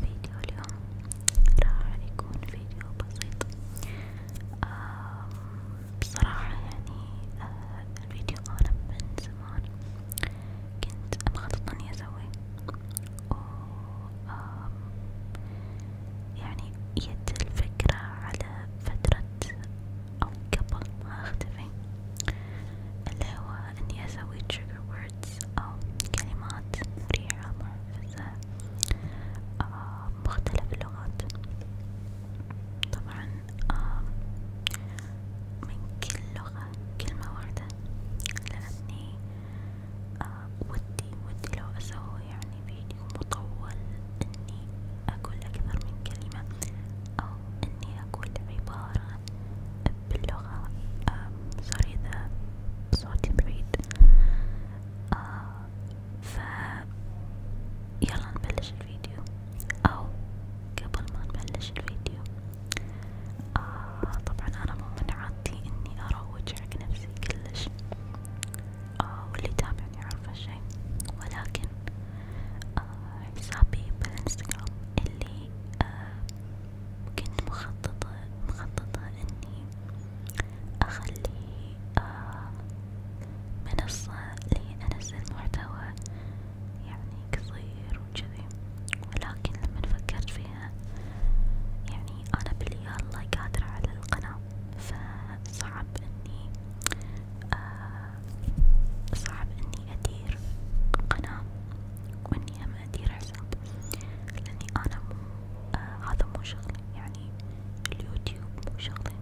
فيديو اليوم راح يكون فيديو بسيط آه بصراحة يعني آه الفيديو أنا من زمان كنت مخطط إني أسويه آه يعني جت الفكرة على فترة أو قبل ما أختفي اللي هو إني أسوي trigger words أو كلمات مريحة منرفزة آه مختلف اللغات طبعا آه من كل لغة كلمة واحدة لأني آه ودي ودي لو أسوي يعني فيديو مطول إني أقول أكثر من كلمة أو إني أقول عبارة باللغة سوري إذا صوتي بعيد ف يلا نبلش الفيديو أو قبل ما نبلش الفيديو آه طبعا أنا مو من عادتي إني أروج حق نفسي كلش آه واللي يتابعني يعرف هالشي ولكن آه حسابي بالإنستغرام اللي آه كنت مخططة مخططة إني أخلي آه منصة لأنزل محتوى يعني قصير وجذي، ولكن لما فكرت فيها يعني أنا باليالله قادرة على القناة، فصعب إني آه صعب إني أدير قناة وإني هم أدير حساب. الشعب لاني انا مو آه، هذا مو شغلي يعني اليوتيوب مو شغلي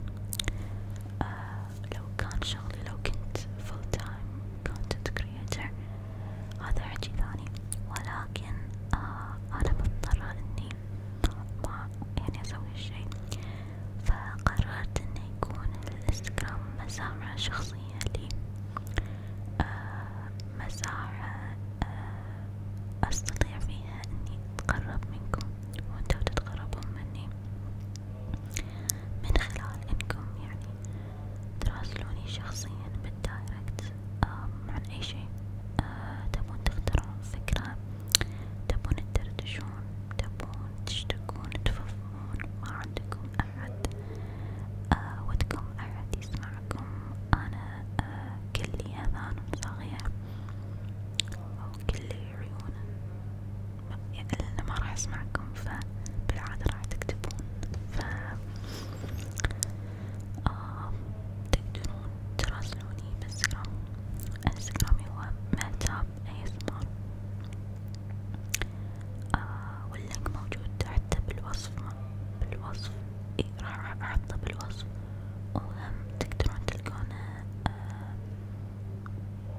آه لو كان شغلي لو كنت فول تايم كونتنت كرياتر هذا حكي ثاني ولكن آه انا مضطرة اني ما يعني اسوي الشي فقررت انه يكون الانستغرام مسامع شخصية الأغنية يعني، لي آه مساحة آه أستطيع فيها إني أتقرب منكم وأنتوا تتقربون مني من خلال إنكم يعني تراسلوني شخصيا بالدايركت آه عن أي شيء آه تبون تختارون فكرة تبون تدردشون تبون تشتكون تفهمون ما عندكم أحد آه، ودكم أحد يسمعكم أنا آه، كلي أذان صاغية أو كلي عيون يعني ما راح أسمعكم فبالعادة راح تكتبون ف آه تراسلوني بإنستغرام إنستغرامي هو مهتاب ASMR آه واللينك موجود حتى بالوصف راح احطه بالوصف وهم تقدرون تلقونه آه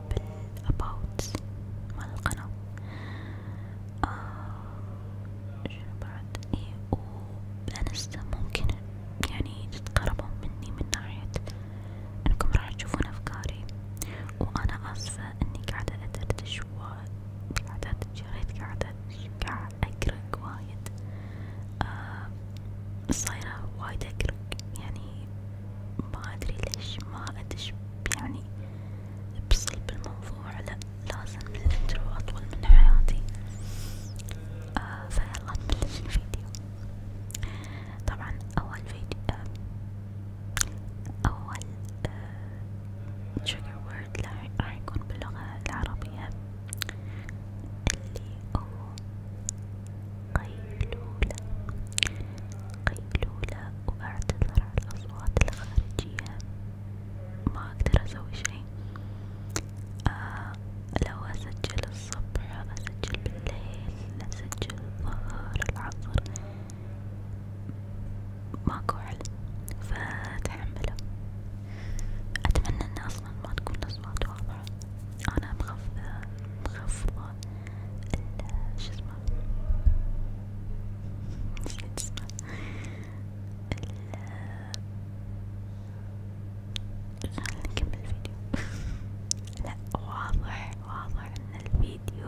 بالاباوت مال القناة آه شنو بعد اي والانستا ممكن يعني تتقربون مني من ناحية انكم راح تشوفون افكاري وانا اسفة اني قاعدة ادردش وقاعدة اتجريد قاعدة قاعد أقرأ وايد آه صايرة وايد أقرأ يعني ما أدري ليش ما أدش يعني بصلب الموضوع لأ لازم الانترو أطول من حياتي آه فيلا نبلش الفيديو طبعا أول فيديو آه، أول آه trigger word الوورد راح يكون باللغة العربية اللي هو قيلولة قيلولة وأعتذر عن الأصوات الخارجية ما أقدر أسوي شي آه لو أسجل الصبح أسجل بالليل أسجل الظهر العصر ماكو علم فتحمله أتمنى إن أصلا ما تكون الأصوات واضحة أنا مخفضة مخفضة شو اسمه نسيت اسمه خلينا نكمل الفيديو لا واضح واضح ان الفيديو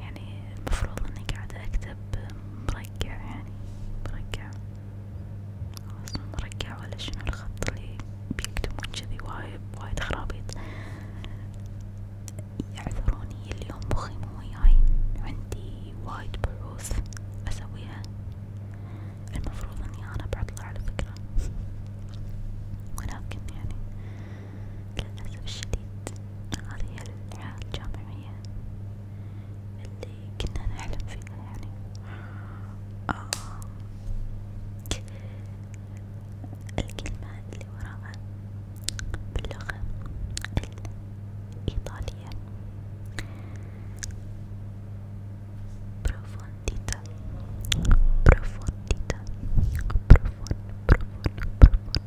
يعني المفروض اني قاعدة اكتب مرقع يعني مرقع خلاص مرقع ولا شنو الخط اللي بيكتبون جذي وايد وايد خرابيط يعذروني اليوم مخي مو وياي عندي وايد بحوث اسويها المفروض اني انا بعطلة على فكرة ولكن يعني للأسف الشديد هذه هي الحياة الجامعية اللي كنا نحلم فيها يعني آه. الكلمة اللي وراها باللغة الإيطالية Profondita, profondita, profond, profond, profond,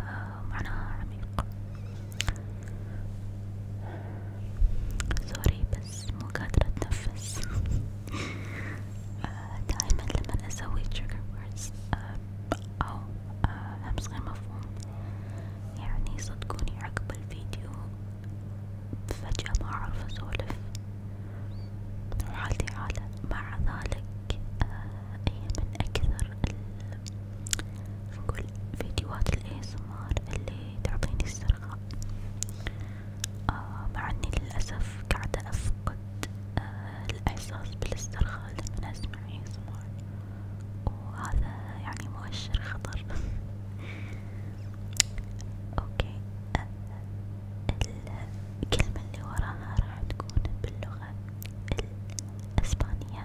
آه، معناها عميق سوري بس مو قادرة اتنفس آه، دايما لما اسوي trigger words آه، او همس غير مفهوم يعني صدقوني عقب الفيديو فجأة ما اعرف اسولف وحالتي عالة مع ذلك هي من اكثر نقول فيديوهات الاي اللي تعطيني السرخة آه مع اني للأسف قاعدة افقد آه الاحساس بالاسترخاء لما اسمع اي وهذا يعني مؤشر خطر اوكي آه الكلمة اللي وراها راح تكون باللغة الاسبانية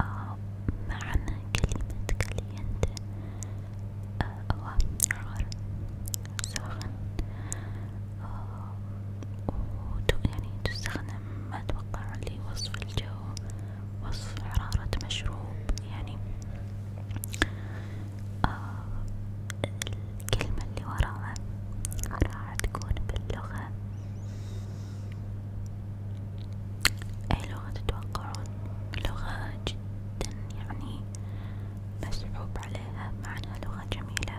آه معنى كلمة كلينت أو عار سخن أو يعني تستخدم أتوقع لوصف الجو وصف حرارة مشروب يعني آه الكلمة اللي وراها راح تكون باللغة أي لغة تتوقعون لغة جدا يعني مسحوب عليها مع إنها لغة جميلة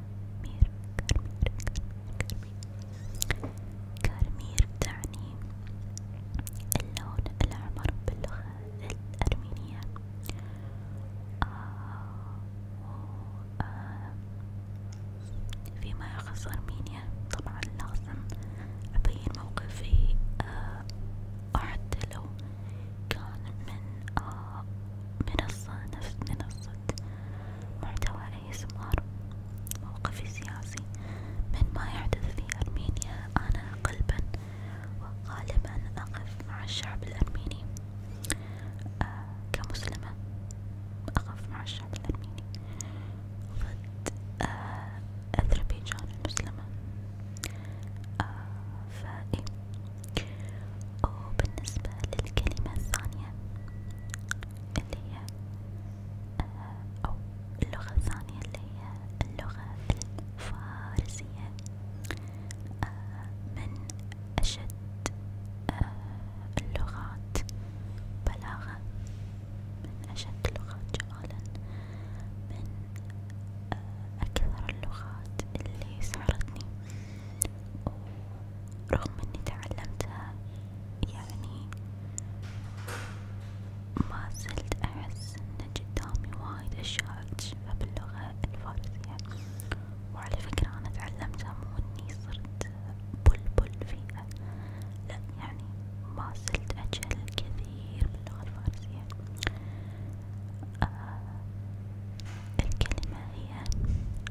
كرمير كرمير كرمير كرمير تعني اللون الأحمر باللغة الأرمينية فيما يخص أرمينيا طبعا لازم أبين موقفي حتى لو كان من منصة نفس منصة محتوى ASMR موقفي السياسي من ما يحدث في أرمينيا أنا قلبا وغالبا أقف مع الشعب الأرميني آه كمسلمة أقف مع الشعب الأرميني ضد آه أذربيجان المسلمة آه فإيه وبالنسبة للكلمة الثانية اللي هي آه، أو اللغة الثانية اللي هي اللغة الفارسية آه، من أشد آه، اللغات بلاغة من أشد اللغات جمالا من أكثر اللغات اللي سحرتني رغم اني تعلمتها يعني ما زلت احس ان قدامي وايد اشياء اكتشفها باللغة الفارسية يعني. وعلى فكرة انا تعلمتها مو اني صرت بلبل فيها لا يعني ما زلت اجهل كثير باللغة الفارسية آه الكلمة هي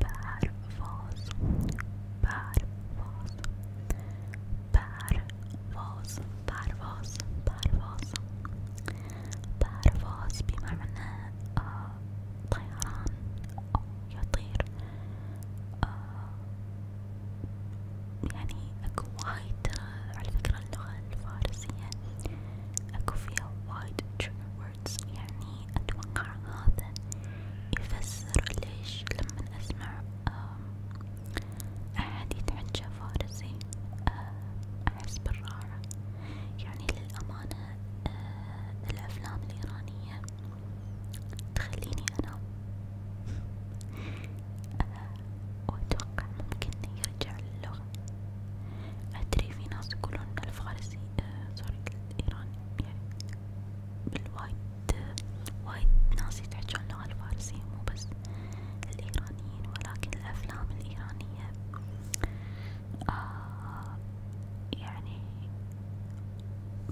بار فاز بار فاز بار فاز بار فاز بار فاز بار فاز بمعنى آه طيران أو يطير آه يعني اكو وايد على فكرة اللغة الفارسية اكو فيها وايد trigger words يعني أتوقع هذا يفسر ليش لما أسمع أحد يتحجى فارسي آه، أحس بالراحة يعني للأمانة آه، الأفلام الإيرانية تخليني أنام وأتوقع ممكن يرجع للغة أدري في ناس يقولون الفارسي سوري آه، ايراني يعني بالوايد وايد ناس يتحجون اللغة الفارسية مو بس الايرانيين ولكن الافلام الايرانية آه يعني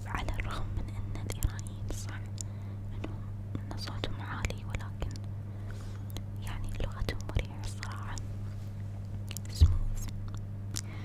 على الرغم من ان الايرانيين صح انهم ان صوتهم عالي ولكن يعني لغتهم مريحة الصراحة سموث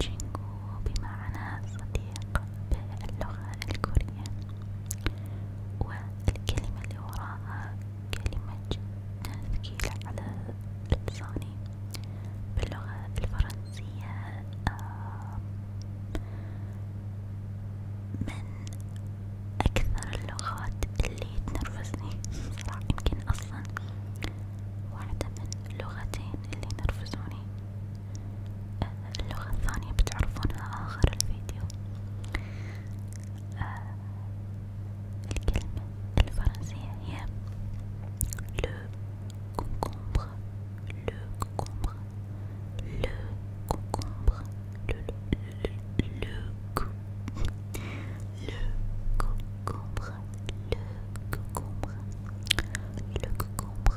جينغو بمعنى صديق باللغة الكورية والكلمة اللي وراها كلمة ثقيلة على لساني باللغة الفرنسية فيها آه، من أكثر اللغات اللي تنرفزني صراحة يمكن أصلا واحدة من اللغتين اللي ينرفزوني آه، اللغة الثانية بتعرفونها آخر الفيديو آه الكلمة الفرنسية هي le concombre le concombre, le concombre, le le le, le, le le le le le le le concombre, le concombre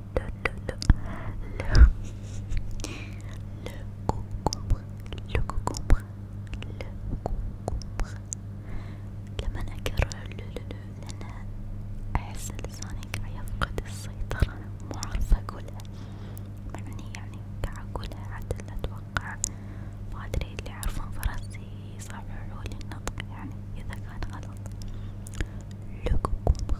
le, le concombre, le concombre, le concombre لما أكرر لولولو لأن أحس لساني قاعد يفقد السيطرة مو عارفة أقولها معني يعني قاعد أقولها عدل أتوقع ما أدري اللي يعرفون فرنسي يصححولي النطق يعني إذا كان غلط لو كوكومبر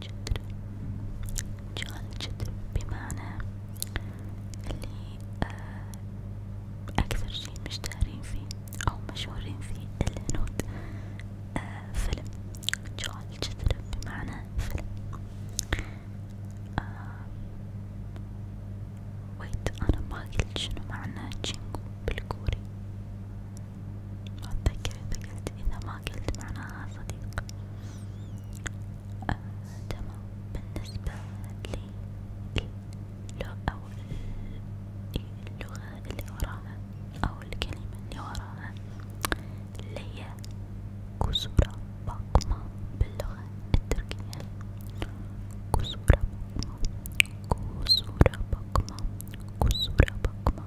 جدر جهل جدر بمعنى اللي آه أكثر شي مشتهرين فيه أو مشهورين فيه الهنود آه فيلم جهل جدر بمعنى فيلم آه ويت أنا ما قلت شنو معنى جينجو بالكوري أتذكر إذا قلت إذا ما قلت معناها صديق آه تمام بالنسبة لي لو أو اللغة اللي وراها أو الكلمة اللي وراها اللي هي كسورة بقمة باللغة التركية كسورة بقمة كسورة بقمة كسورة بقمة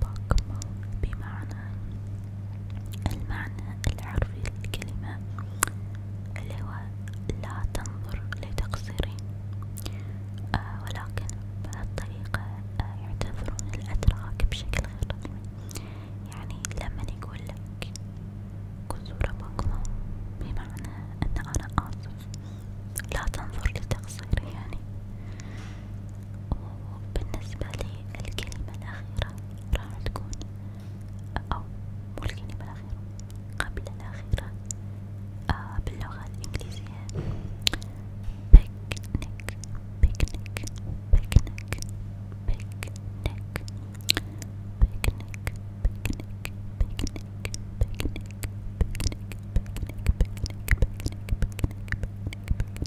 بقمة بمعنى المعنى الحرفي للكلمة اللي هو لا تنظر لتقصيري آه ولكن بهالطريقة آه يعتبرون الأتراك بشكل غير رسمي يعني لما يقول لك كسورة بقمة بمعنى أن أنا آسف لا تنظر لتقصيري يعني وبالنسبة لي الكلمة الأخيرة راح تكون أو مو الكلمة الأخيرة قبل الأخيرة آه باللغة الإنجليزية بيكنيك بيكنيك بيكنيك بيكنيك بيكنيك بيكنيك بيكنيك بيكنيك بيكنيك بيكنيك بيكنيك بيكنيك بيكنيك بيكنيك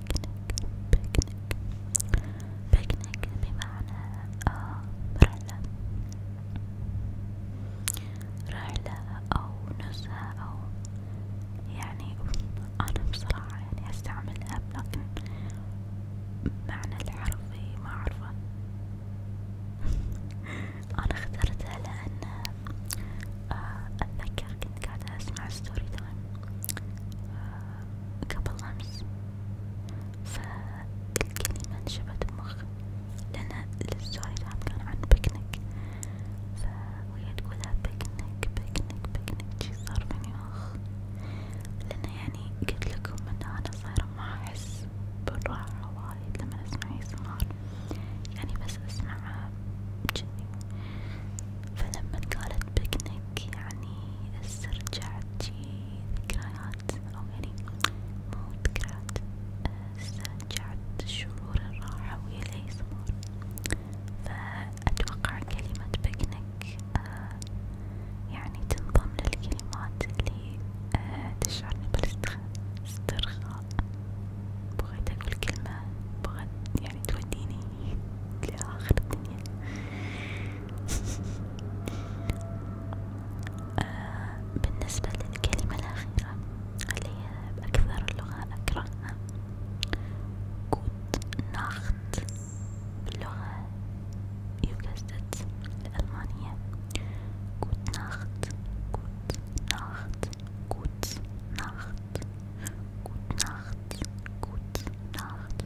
بيكنيك بيكنيك بمعنى آه رحلة رحلة أو نزهة أو يعني أنا بصراحة يعني أستعملها لكن معنى الحرفي ما أعرفه أنا اخترتها لأن آه، أتذكر كنت قاعدة أسمع ستوري تايم قبل أمس فالكلمة انشبت بمخي لأن الستوري كان عن بيكنيك فوهي تقولها بيكنيك بيكنيك بيكنيك جي صار فيني أخ لأن يعني قلت أن أنا صايرة ما أحس بالراحة وايد لما أسمع ASMR يعني بس أسمعها جني فلما قالت بيكنيك يعني استرجعت ذكريات شي ذكريات أو يعني مو ذكريات استرجعت شعور الراحة وهي الأيسمار فأتوقع كلمة بكنك آه يعني تنضم للكلمات اللي آه تشعرني بالاسترخاء بغيت أقول كلمة بغيت يعني توديني لآخر الدنيا آه بالنسبة للكلمة الأخيرة اللي هي بأكثر اللغة أكرهها جود ناخت باللغة يوجزت الألمانية جود ناخت جود ناخت جود ناخت جود ناخت جود ناخت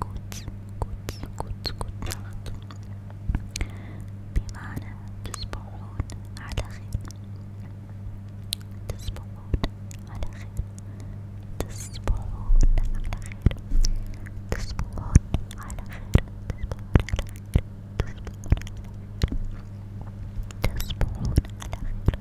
goods goods goods goods غلط بمعنى تصبحون على خير تصبحون على خير تصبحون على خير تصبحون على خير تصبحون على خير تصبحون على خير تصبحون على خير